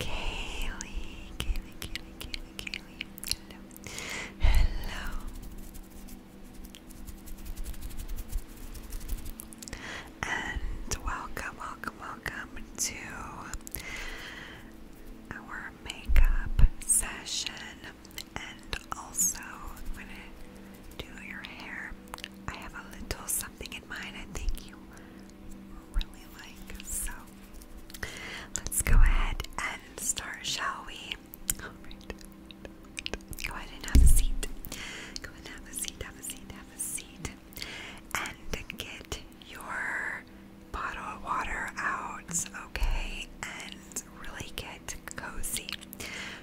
Kaylee, Kaylee, Kaylee, Kaylee, Kaylee. Hello. Hello. And welcome, welcome, welcome to our makeup session. And also, I'm gonna do your hair. I have a little something in mind. I think you really like. So let's go ahead and start, shall we? Go ahead and have a seat. Go ahead and have a seat, have a seat, have a seat. And get your bottle of water out, okay? And really get cozy.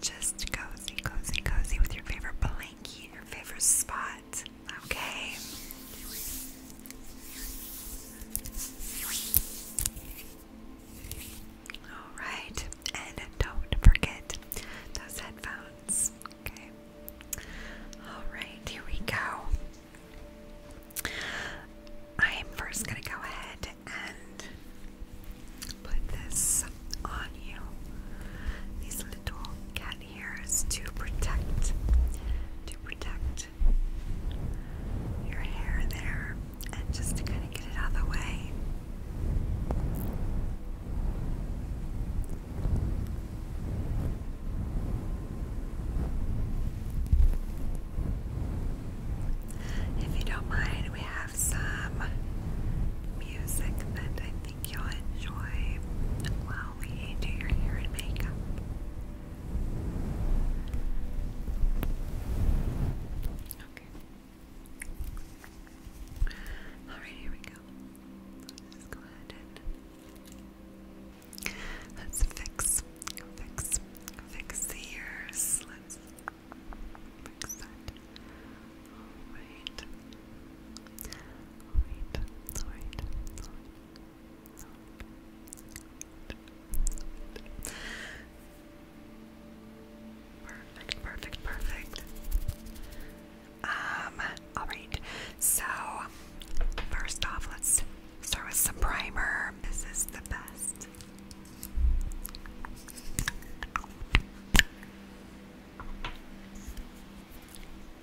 Just cozy, cozy, cozy with your favorite blanket, in your favorite spot okay? Alright, and don't forget those headphones, okay? Alright, here we go. I'm first going to go ahead and put this on you. These little cat here is to protect to protect your hair there and just to kind of get it out of the way. If you don't mind, we have some music that I think you'll enjoy while we do your hair and makeup. Okay. Alright, here we go. Let's go ahead and let's fix, fix, fix the ears. Let's fix that. Alright. Perfect, perfect, perfect. Um, alright, so first off, let's start with some primer. This is the best.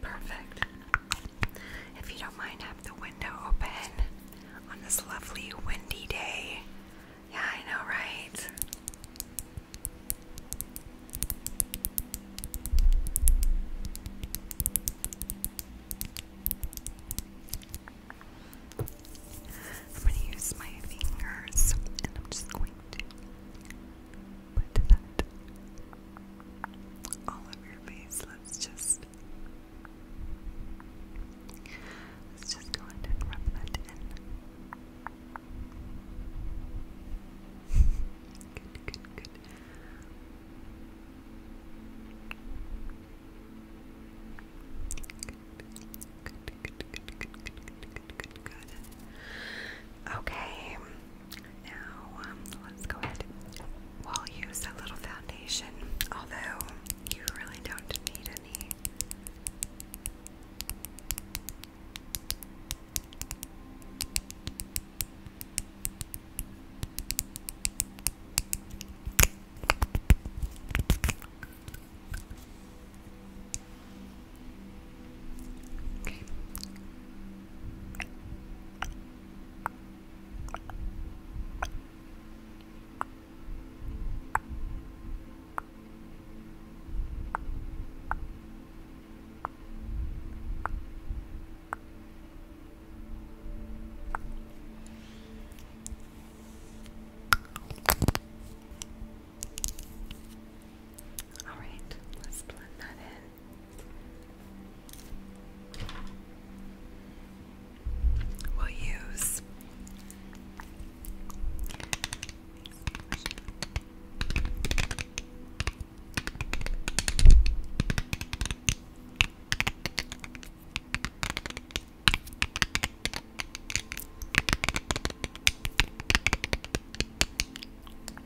perfect, If you don't mind, have the window open on this lovely windy day. Yeah, I know, right? I'm going to use my fingers and I'm just going to put that all over your face. Let's just let's just go ahead and rub that in. good, good. Good, good, good, good, good, good, good, good, good. Okay. Now, um, let's go ahead. We'll use a little foundation, although you really don't need any. All right, let's blend that in. We'll use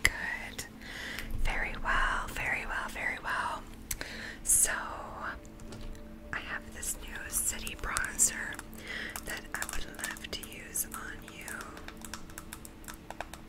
Good, Very well, very well, very well. So, I have this new city bronzer that I would love to use on you.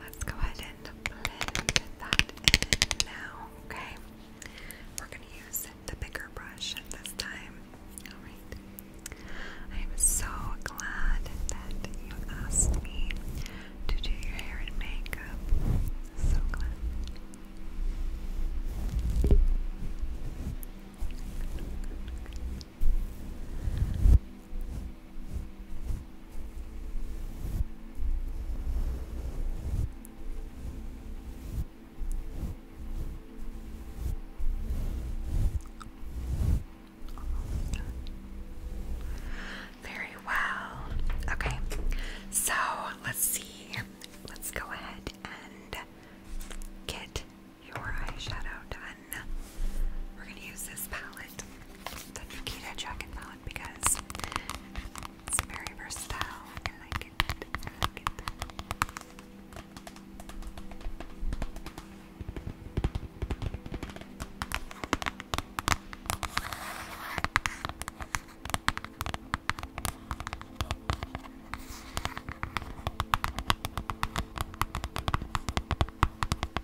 Let's go ahead and blend that in now, okay? We're gonna use the bigger brush this time. Alright. I am so glad that you asked me to do your hair and makeup. So glad. Very well. Okay, so let's see. Let's go ahead and get your eyeshadow done. We're going to use this palette, the Nikita Dragon palette, because it's very versatile.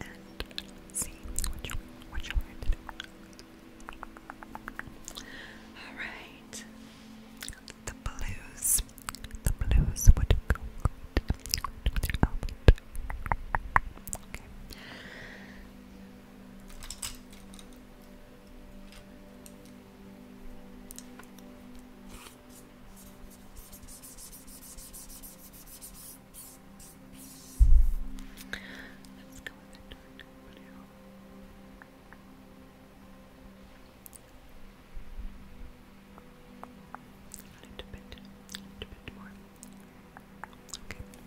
and you All right, the blues, the blues would go good with Let's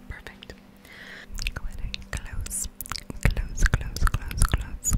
perfect. close, close, close. close. Close.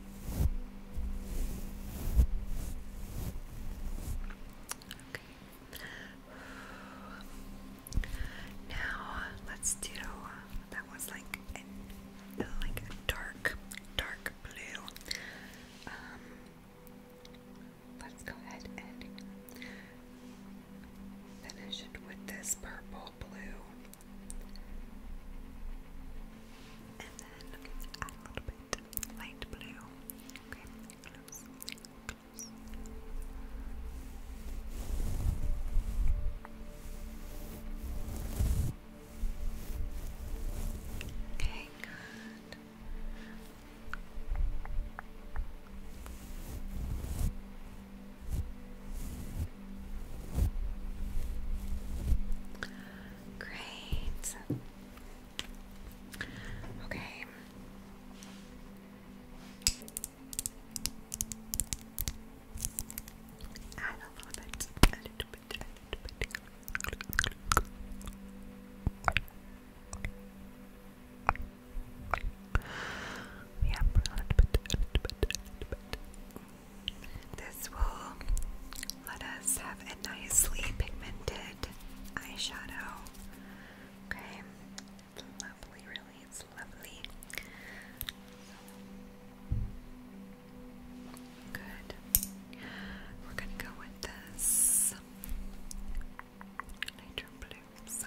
Now let's do that was like like a dark, dark blue. Um, let's go ahead and finish it with this purple blue and then a little bit light blue. Okay, good. Great. Okay. Add a little bit, a little bit, a little bit. Yep, a little bit, a little bit, a little bit. This will let us have a nicely pigmented eyeshadow. Okay, it's lovely, really, it's lovely. Good. We're gonna go with this nitro blue. So,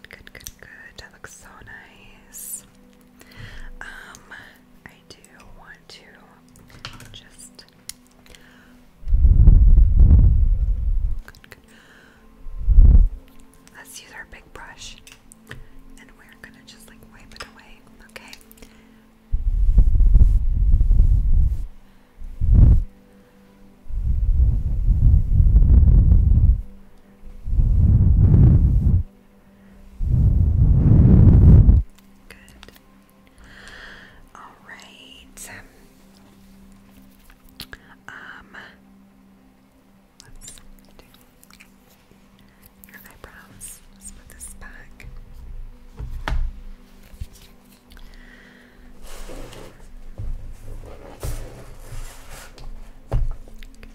Good, good, good, good. That looks so nice. Um, I do want to just let's use our big brush and we're gonna just like wipe it away, okay? Good. All right. Um, your eyebrows. Let's put this back.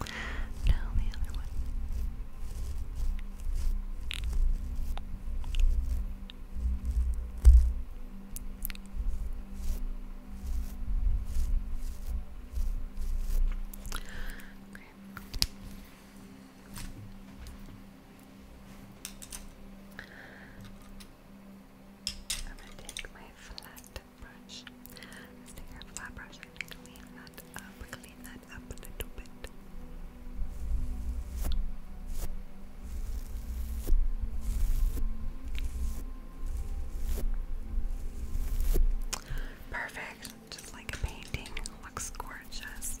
No, the other one. I'm gonna take my flat brush. This is flat brush. i clean that up, clean that up a little bit. Perfect, just like a painting. Looks gorgeous.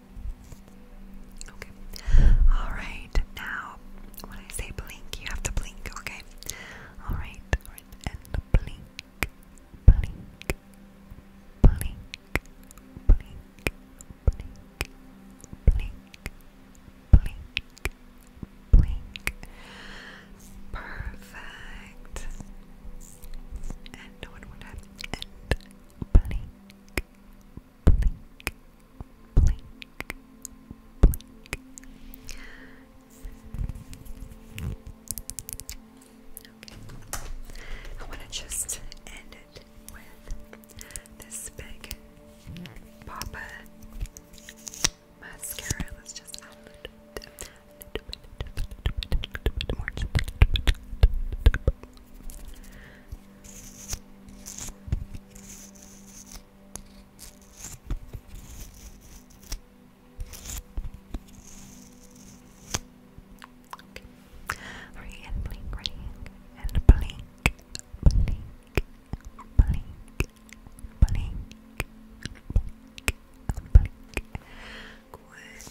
Okay. Alright, now when I say blink, you have to blink, okay? Alright, and blink, blink, blink, blink, blink, blink, blink, blink. Perfect. And one more time. And blink, blink, I want to just end it with this big Papa mascara. Let's just add a little bit more. Okay. Hurry and blink, ready and blink, blink, blink, blink, blink, blink. Good.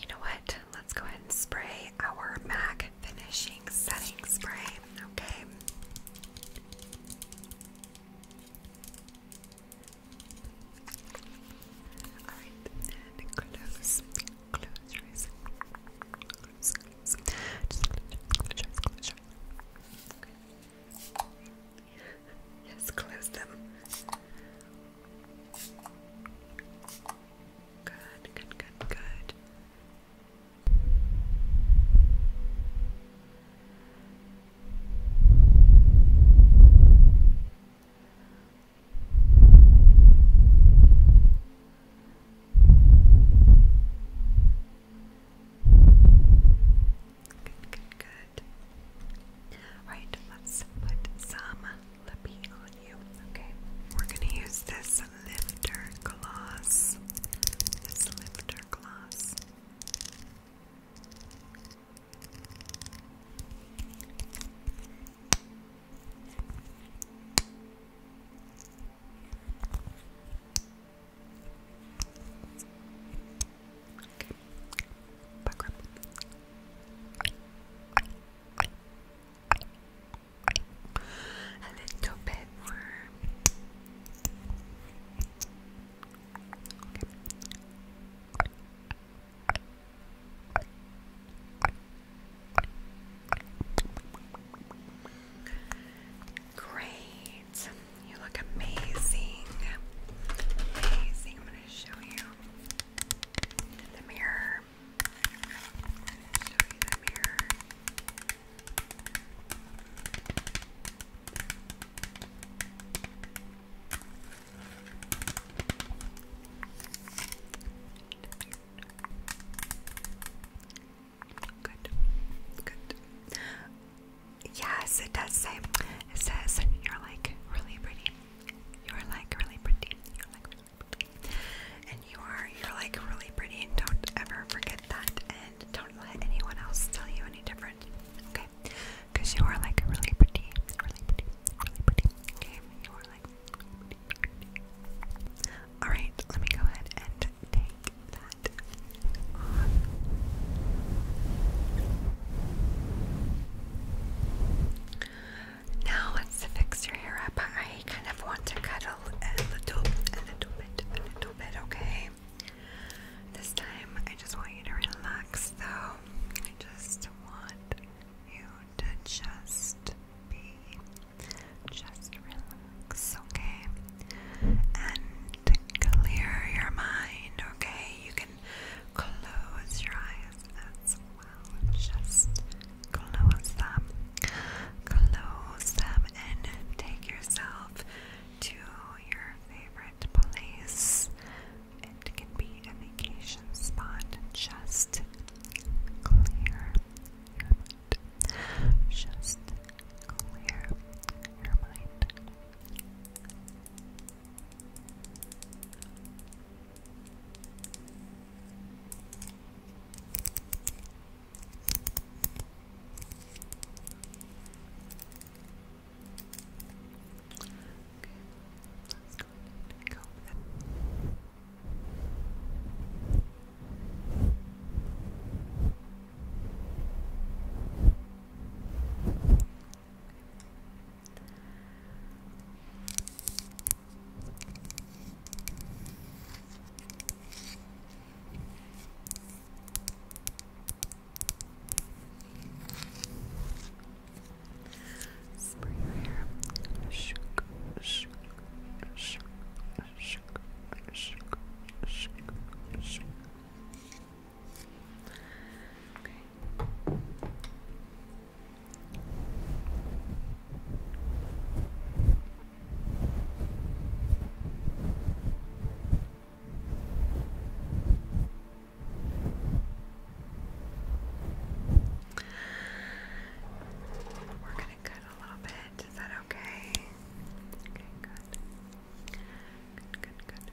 You know what? Let's go ahead and spray our MAC finishing setting spray okay. Alright, and close, close your eyes. Close, close. Just close, close your eyes, close Yes, close them. Good, good, good, good. Good, good, good. Right, let's put some lippy on you. Okay, we're gonna use this lifter gloss. This lifter gloss. Okay a little bit Great. You look amazing. Amazing. I'm going to show you the mirror. show you the mirror. Good. Good. Yes, it does say. It says you're like really pretty. You're like really pretty. You're like really pretty and you are you're like really pretty and don't ever forget that and don't let anyone else tell you any different okay because you are like really pretty really pretty really pretty okay you are like really pretty, all right let me go ahead and take that off. Now let's fix your hair up. I kind of want to cut a little, a little bit, a little bit, okay? This time I just want you to relax though. I just want you to just be, just relax, okay? And clear your mind, okay? You can close your eyes as well. Just close them, close them and take yourself to your favorite place. It can be a vacation spot. Just clear your mind. Just clear your mind let's go ahead and comb that. Okay. Spray your hair. Shook, shook, shook, shook, shook, shook, shook. Okay. Okay. We're going to cut a little bit. Is that okay? Okay, good. Good, good,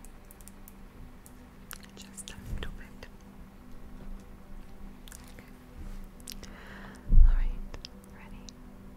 Just a little bit. Alright, ready?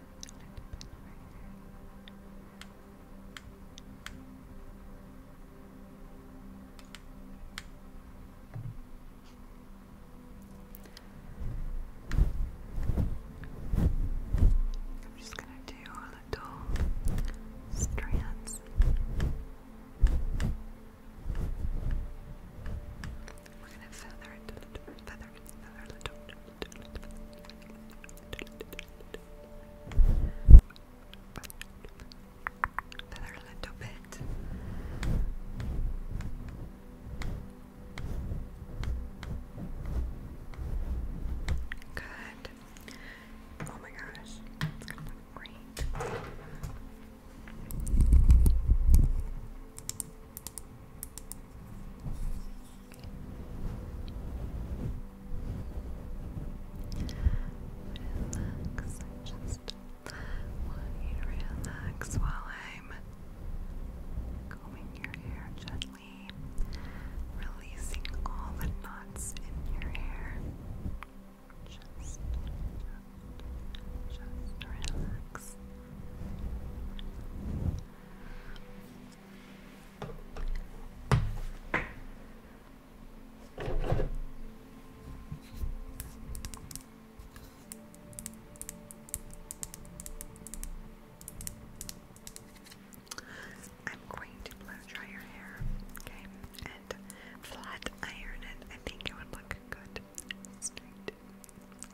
I'm just gonna do little strands. We're gonna feather it a little bit, feather, little, little, little, little bit. Good. Oh my gosh, it's gonna look great. Relax, just want you to relax while I'm combing your hair gently, releasing all the knots in your hair. Just, just, just Relax, I'm going to blow dry your hair, okay, and flat iron it. I think it would look good straight.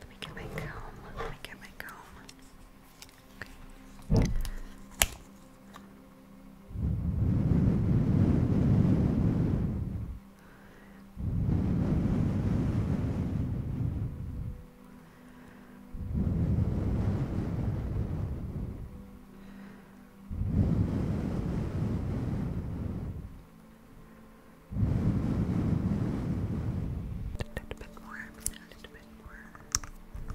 Let me get my comb. Let me get my comb. Okay. A little bit more, a little bit more. Good.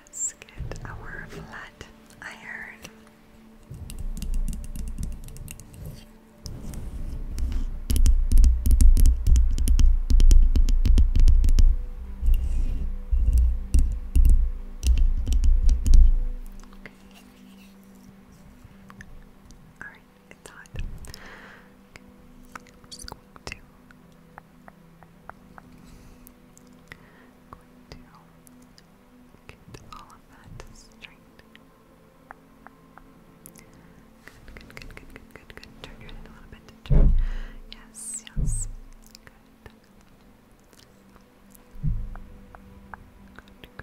Let's get our flat iron. I'm just going to going all of that straight. Good, good, good, good, good, good, good. Turn your head a little bit. Yes, yes. Good, good,